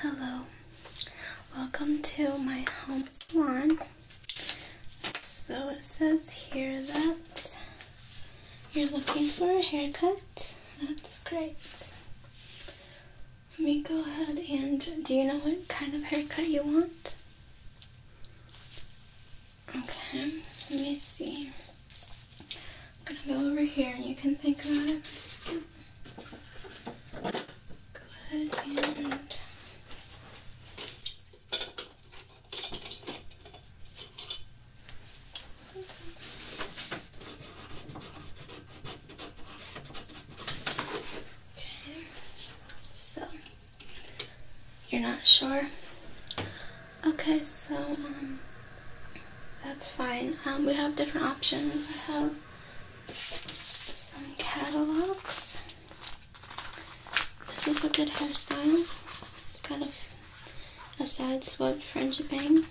Hello, welcome to my home salon. So it says here that you're looking for a haircut. That's great. Let me go ahead and do you know what kind of haircut you want? Okay, let me see. I'm gonna go over here and you can think about it Go ahead and Okay. So you're not sure? Okay, so um that's fine. Um, we have different options. I have some catalogs. This is a good hairstyle. It's kind of a side swept fringe bang.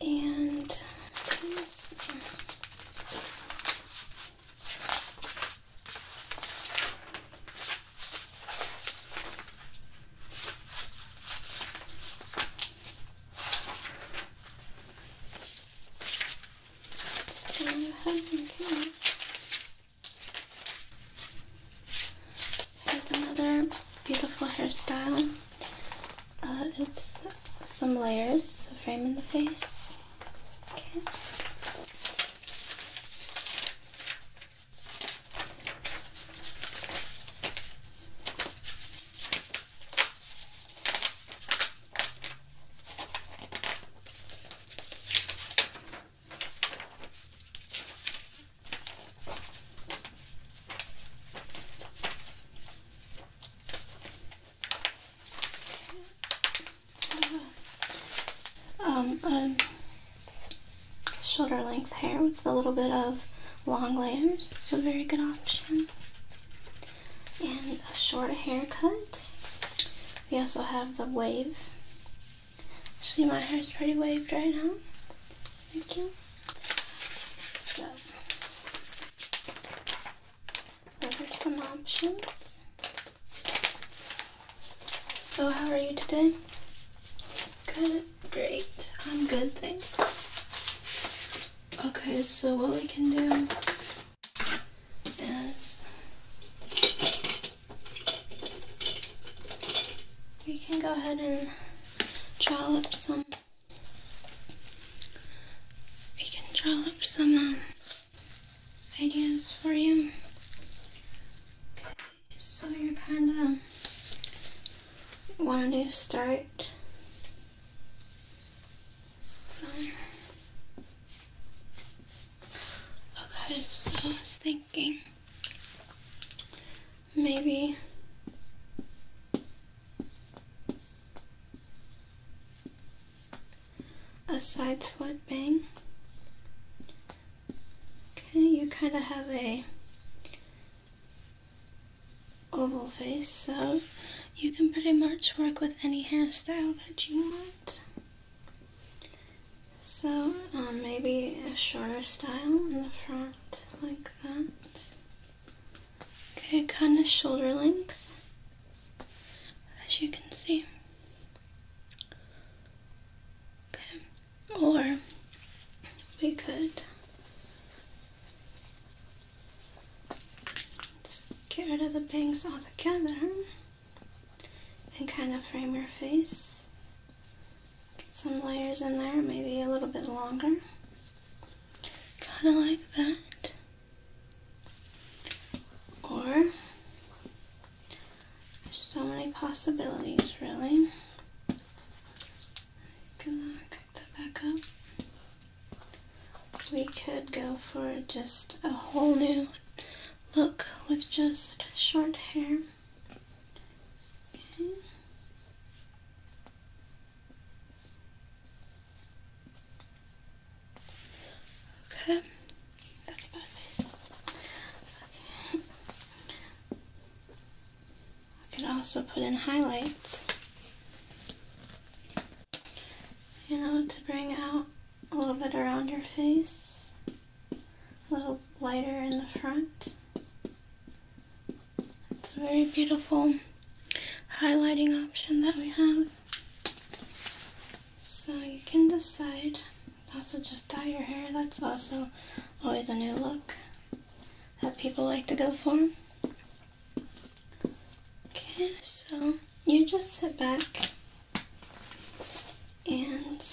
And these Here's another beautiful hairstyle. Uh, it's some layers, frame in the face. Um, i shoulder length hair with a little bit of long layers. It's a very good option. And a short haircut. We also have the wave. See, my hair is pretty waved right now. Thank you. So, those are some options. So, how are you today? Good, great. I'm good, thanks. Okay, so what we can do is we can go ahead and draw up some. We can draw up some um, ideas for you. So you kind of want a start. So. Okay, so I was thinking maybe a side sweat bang. Okay, you kind of have a oval face, so you can pretty much work with any hairstyle that you want. So um, maybe a shorter style in the front, like that. Okay, kind of shoulder length, as you can see. Okay, or we could get rid of the bangs altogether and kind of frame your face. Get some layers in there, maybe a little bit longer. Kind of like that. Or there's so many possibilities, really. Gonna cook that back up. We could go for just a whole new look with just short hair. Okay. that's my face. I can also put in highlights, you know, to bring out a little bit around your face, a little lighter in the front. It's a very beautiful highlighting option that we have. So you can decide. Also just dye your hair, that's also always a new look that people like to go for. Okay, so you just sit back and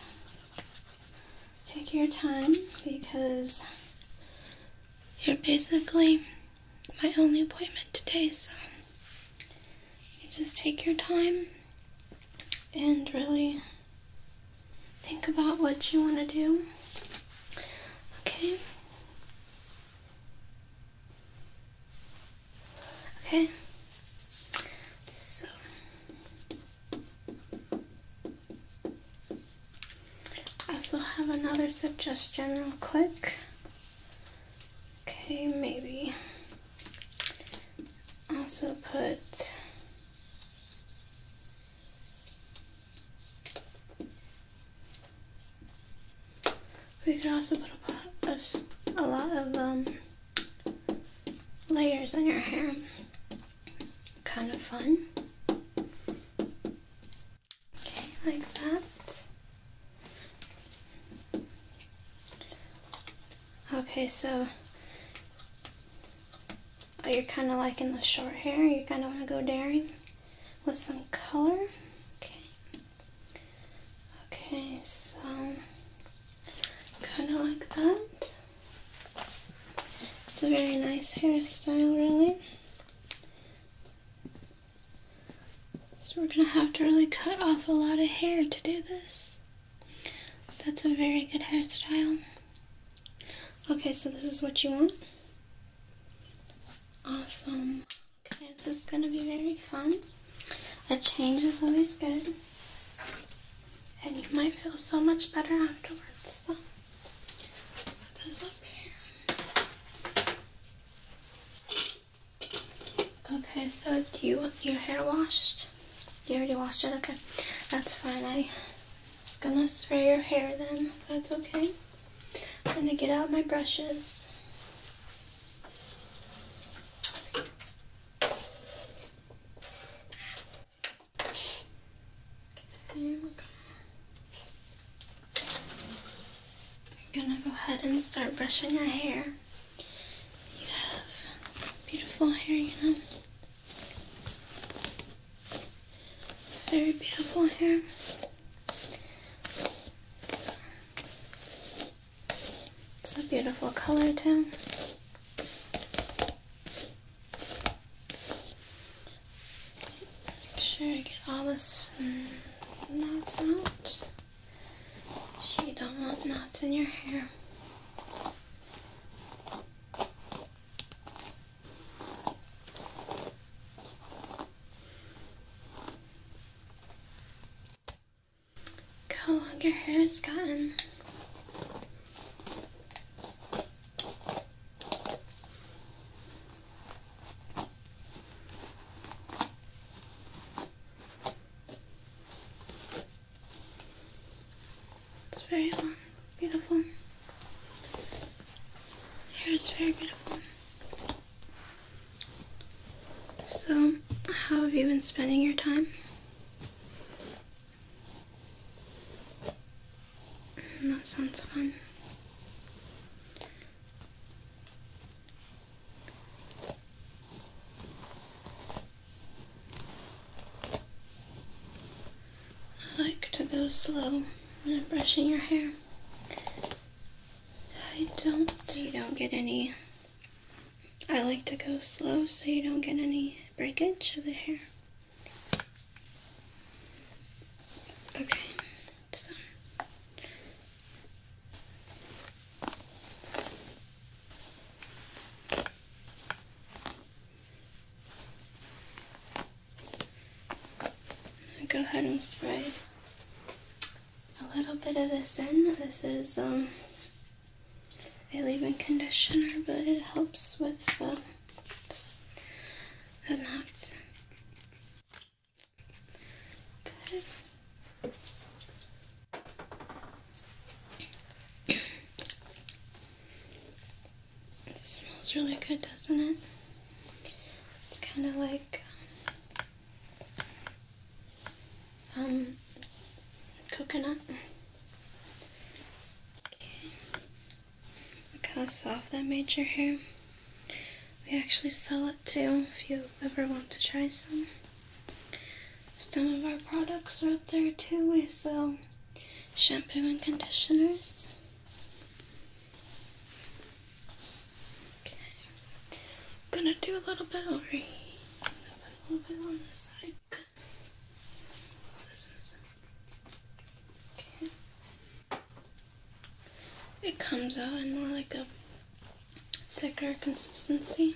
take your time because you're basically my only appointment today, so you just take your time and really think about what you want to do. Okay. Okay. So I also have another suggestion real quick. Okay, maybe also put we can also put a, lot of um, layers in your hair. Kind of fun. Okay, like that. Okay, so Oh, you're kind of liking the short hair. You kind of want to go daring with some color. Okay. Okay, so kind of like that. It's a very nice hairstyle, really. So we're going to have to really cut off a lot of hair to do this. That's a very good hairstyle. Okay, so this is what you want? Awesome. Okay, this is gonna be very fun. A change is always good. And you might feel so much better afterwards. put this up here. Okay, so do you want your hair washed? You already washed it? Okay. That's fine. I'm just gonna spray your hair then. That's okay. I'm gonna get out my brushes. I'm gonna go ahead and start brushing your hair. You have beautiful hair, you know. Very beautiful hair. it's a beautiful color too. Make sure I get all the knots out. So you don't want knots in your hair. Look how long your hair has gotten. It's very long, beautiful. Hair is very beautiful. So, how have you been spending your time? That sounds fun. I like to go slow when I'm brushing your hair. I don't so you don't get any I like to go slow so you don't get any breakage of the hair. Okay, so Go ahead and spray a little bit of this in. This is um, a leave-in conditioner, but it helps with uh, the, knots. It smells really good, doesn't it? It's kind of like um, um, coconut. Okay. Look how soft that made your hair. We actually sell it too if you ever want to try some. Some of our products are up there too. We sell shampoo and conditioners. Okay, gonna do a little bit over here, It comes out in more like a thicker consistency.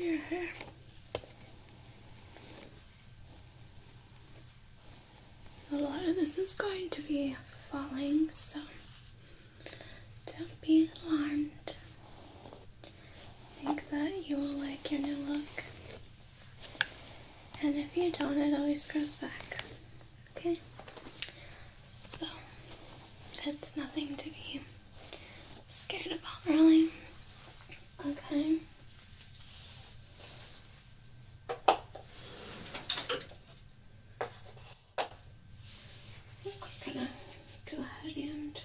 Your hair. A lot of this is going to be falling, so don't be alarmed. I think that you will like your new look. And if you don't, it always goes back. Okay? So, it's nothing to be scared about, really. Okay? we're gonna go ahead and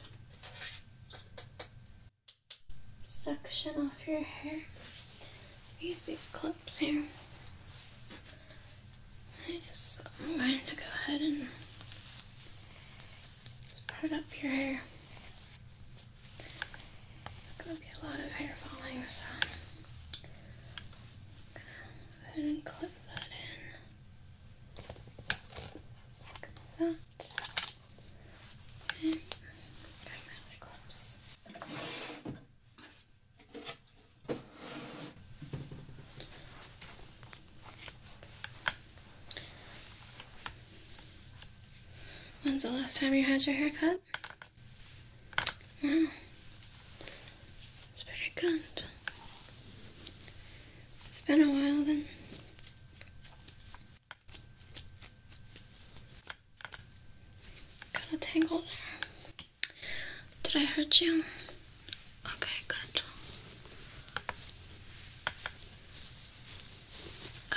Suction off your hair. Use these clips here. I guess I'm going to go ahead and spread up your hair. There's going to be a lot of hair falling, so go ahead and clip that in. Like that. And clips. When's the last time you had your haircut? Wow. It's pretty good. It's been a while then. Kinda tangled. there. Did I hurt you? Okay, good.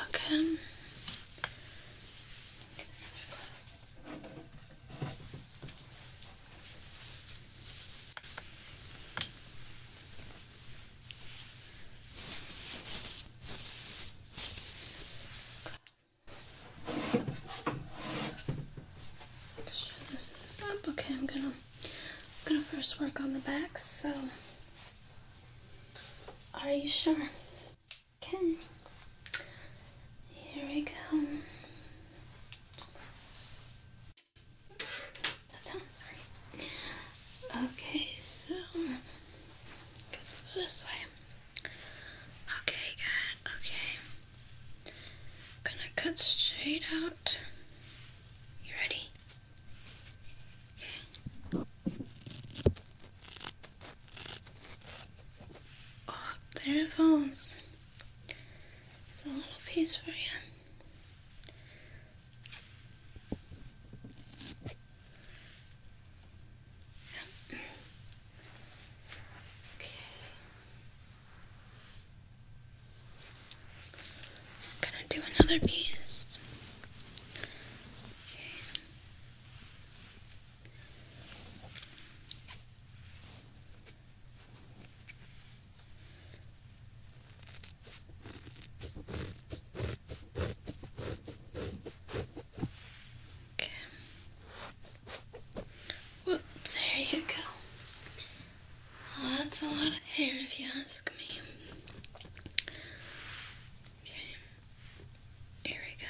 Okay. Okay, I'm gonna gonna first work on the back. So, are you sure? Okay. Here we go. Okay, so let's go this way. Okay, good. Okay. gonna cut straight out. You ready? Okay. Oh, there it falls. There's a little piece for you. Okay. i gonna do another piece. Okay. Well, there you go. that's a lot of hair if you ask me. Okay. Here we go.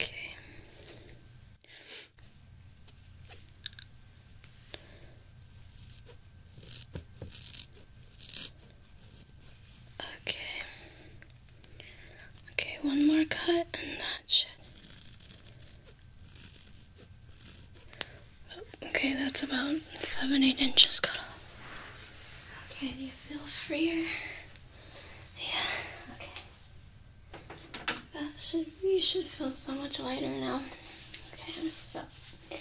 Okay. Okay. Okay, one more cut and that should. okay, that's about seven, eight inches cut off. Okay, do you feel freer? Yeah, okay. That should you should feel so much lighter now. Okay, I'm so go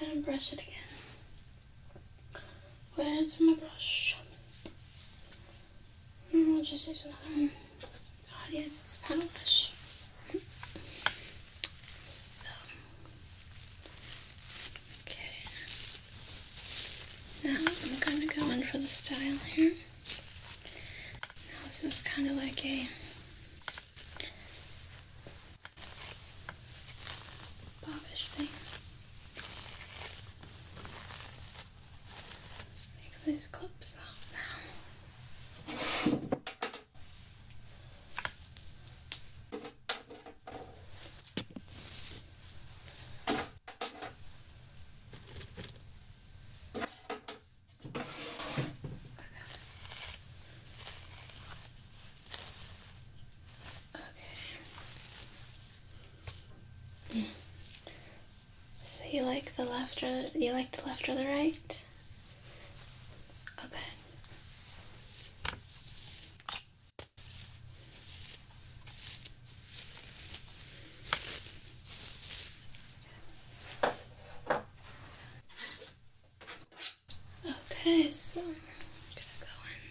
ahead and brush it again. Where's my brush? And mm, I'll just use another one. God, yes, it's Spanish. So, okay. Now I'm gonna go in for the style here this is kind of like a bobbish thing. Make these clips now. So you like the left or you like the left or the right? Okay. Okay, so I'm gonna go in.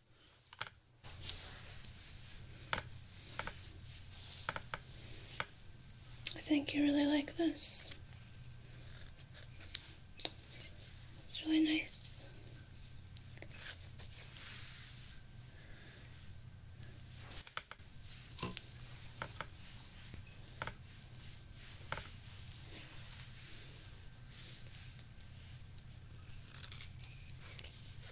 I think you really like this. It's really nice. Um,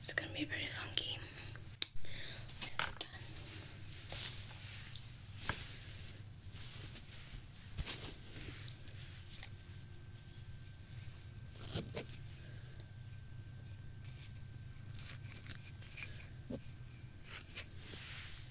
it's gonna be pretty funky. It's done.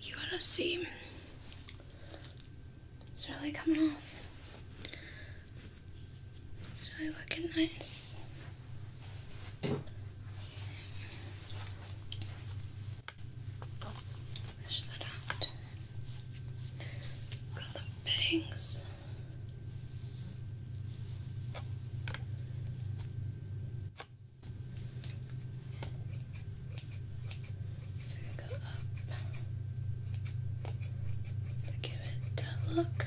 You want to see? It's really coming off. It's really looking nice. Brush that out. Got the bangs. So go up give it a look. Okay.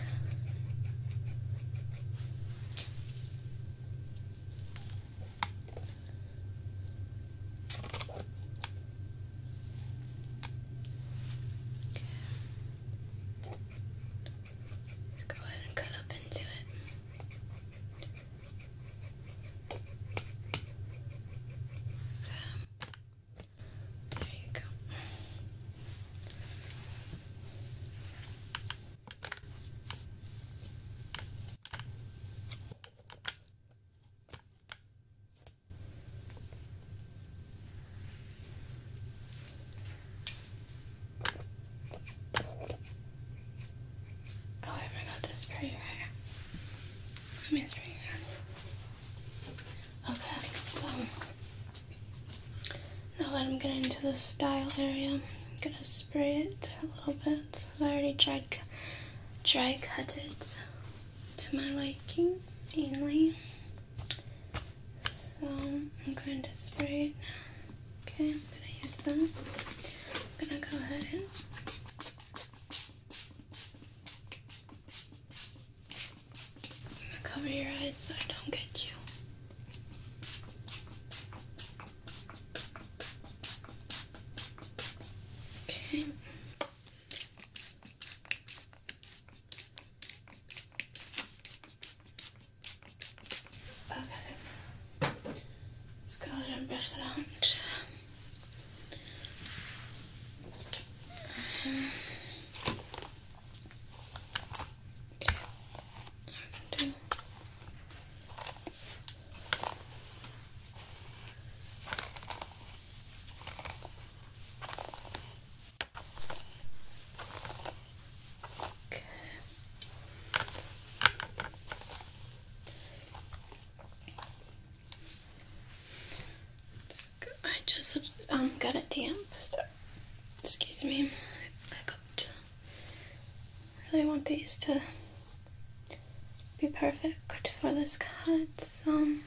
Let's go ahead and cut up into it. Okay. There you go. Oh, I forgot to spray your hair. Let me spray your hair. Okay, so now that I'm getting into the style area, I'm gonna spray it a little bit. I already dry, dry cut it to my liking, mainly. So I'm going to spray it Okay, I'm going to use this. I'm going to go ahead and cover your eyes so I don't get you. Okay. Okay. Let's go ahead and brush that out. Okay. I just um got it damp. excuse me. I really want these to be perfect for this cut. Um.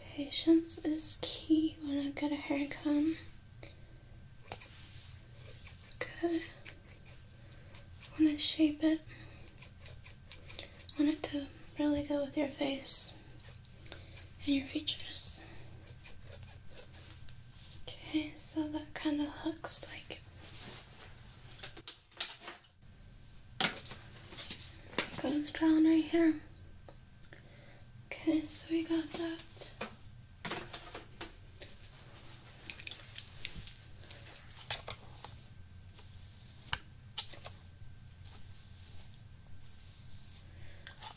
Patience is key when I get a haircut. Good. When I shape it, I want it to really go with your face and your features. Okay, so that kind of looks like goes down right here. Okay, so we got that.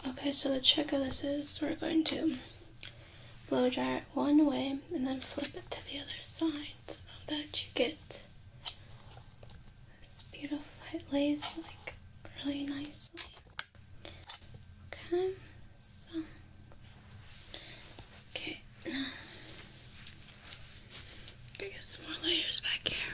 Okay, so the trick of this is we're going to blow dry it one way and then flip it to the other side so that you get this beautiful, it lays like really nicely. Okay, okay, now, more layers back here.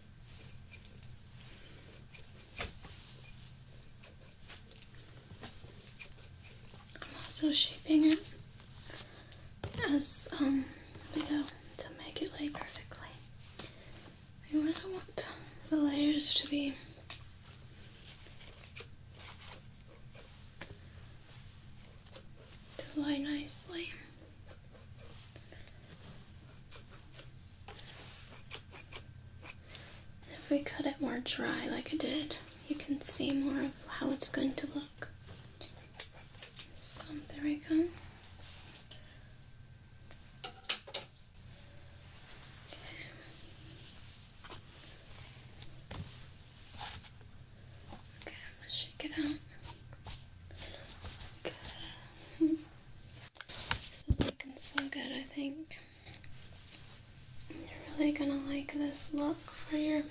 I'm also shaping it as um we go to make it lay perfectly. I really want the layers to be to lie nicely. If we cut it more dry like I did, you can see more of how it's going to look. So there we go. Okay, I'm gonna shake it out. Good. This is looking so good, I think. You're really gonna like this look for your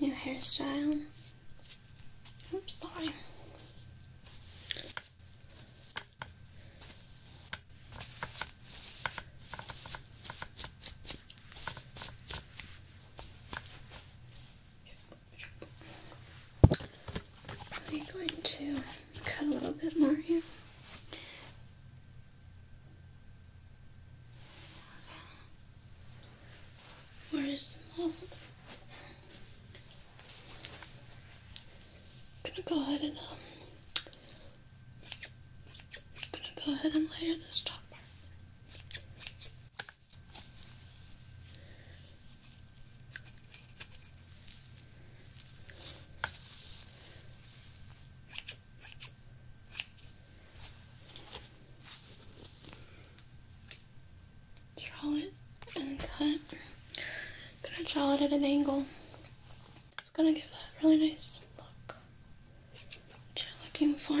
new hairstyle. Oops, sorry. I'm going to cut a little bit more here. Where is most of I'm gonna go ahead and um, gonna go ahead and layer this top part. Draw it and cut. I'm gonna draw it at an angle. It's gonna give that really nice look that you're looking for.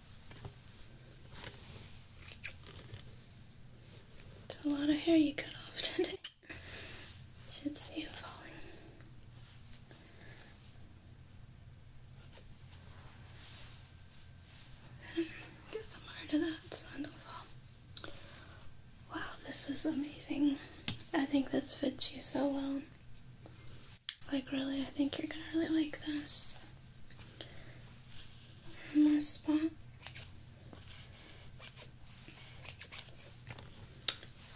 It's a lot of hair you cut off today. Should see it falling. Get more to that sandalfall. Wow, this is amazing. I think this fits you so well. Like really, I think you're gonna really like this. more spot.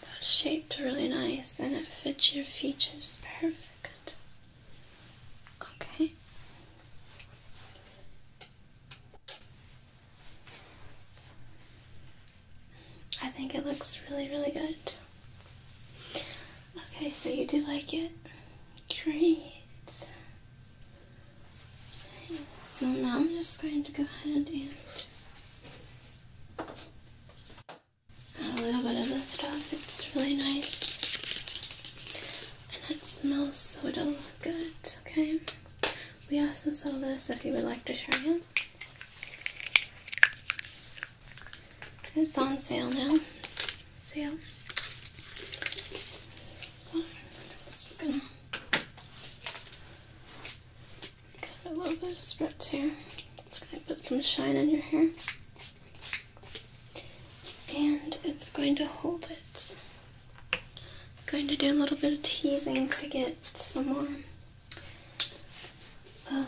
That's shaped really nice and it fits your features perfect. Okay. I think it looks really, really good. Okay, so you do like it? Great. so now I'm just going to go ahead and add a little bit of this stuff. It's really nice. And it smells so good, okay? We also sell this if you would like to try it. It's on sale now. Sale. So just gonna got a little bit of spritz here. Just gonna put some shine on your hair. And it's going to hold it. I'm going to do a little bit of teasing to get some more um,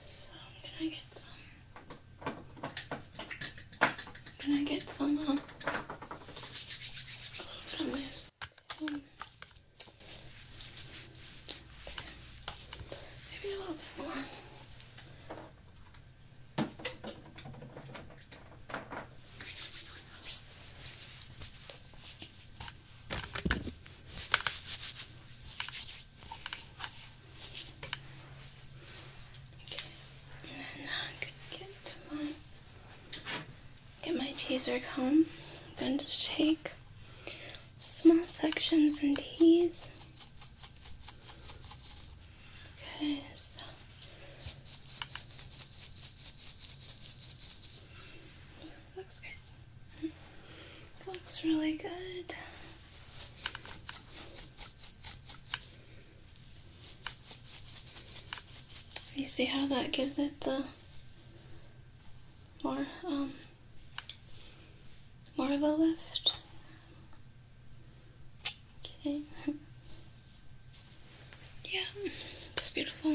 so can I get some? Can I get some? a little bit of this. maybe a little bit more. Okay, and then I'm gonna get my get my teaser comb, then just take small sections and tease. Okay, Looks good. Looks really good. You see how that gives it the more um more of a lift. Okay. Yeah, it's beautiful.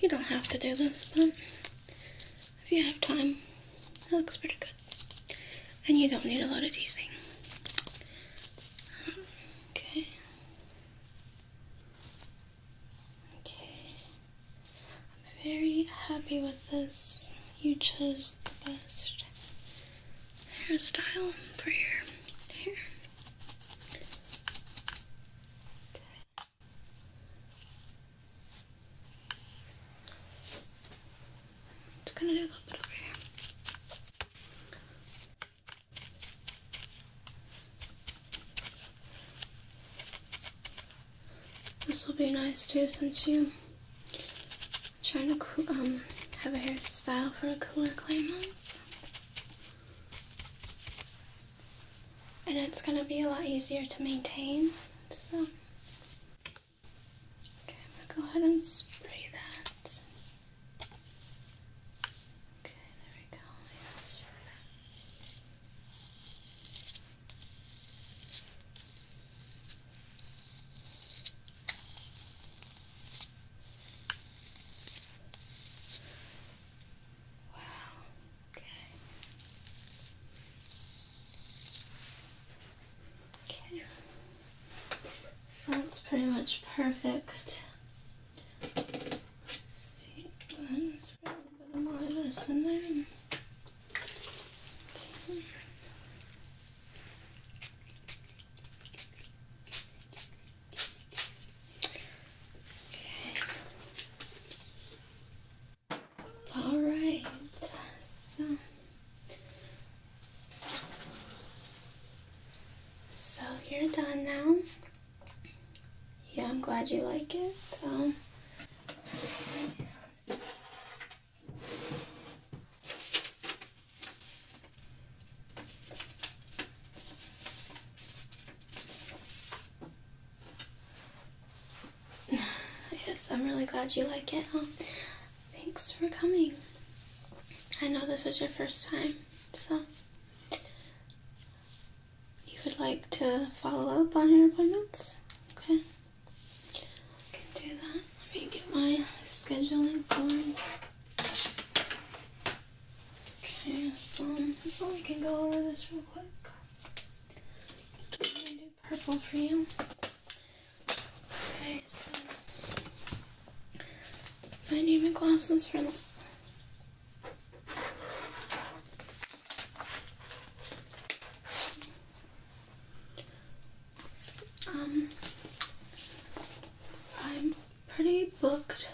You don't have to do this, but if you have time. That looks pretty good. And you don't need a lot of teasing. Okay. Okay. I'm very happy with this. You chose the best hairstyle for your hair. Just gonna do a little bit over here. This will be nice too since you are trying to um, have a hairstyle for a cooler climate and it's going to be a lot easier to maintain. So, okay, I'm going to go ahead and spray that. Okay, there we go. Wow, Okay. Okay. that's pretty much perfect. Let's see, let's a little bit more of this in there. Okay. All right, so you're done now. Yeah, I'm glad you like it. So. yes, I'm really glad you like it. Um, thanks for coming. I know this is your first time, so you would like to follow up on your appointments? Okay. can do that. Let me get my scheduling going. Okay, so we can go over this real quick. I'm purple for you. Okay, so I need my glasses for this. Um, I'm pretty booked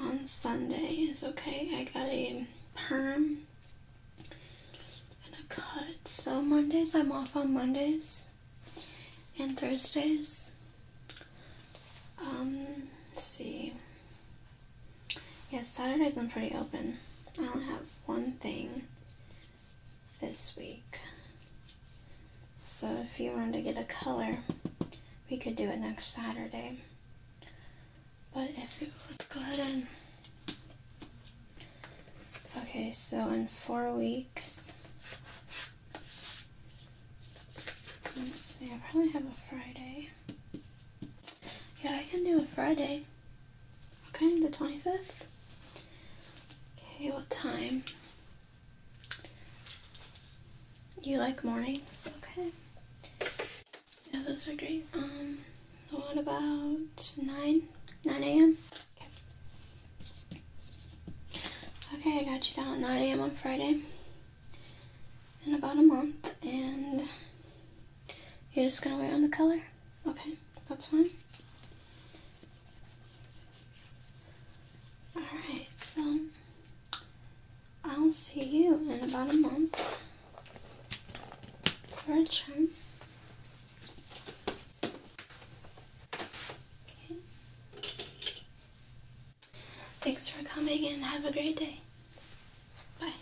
on Sunday is okay. I got a perm and a cut. So Mondays, I'm off on Mondays and Thursdays. Um, let's see. Yeah, Saturdays I'm pretty open. I only have one thing this week. So if you wanted to get a color, we could do it next Saturday. But let's go ahead and. Okay, so in four weeks. Let's see, I probably have a Friday. Yeah, I can do a Friday. Okay, the 25th. Okay, what time? You like mornings? Okay. Yeah, those are great. Um, what about 9? 9 a.m.? Okay. I got you down 9 a.m. on Friday. In about a month, and you're just gonna wait on the color? Okay, that's fine. Alright, so I'll see you in about a month for a Okay. Thanks for coming and have a great day. Bye.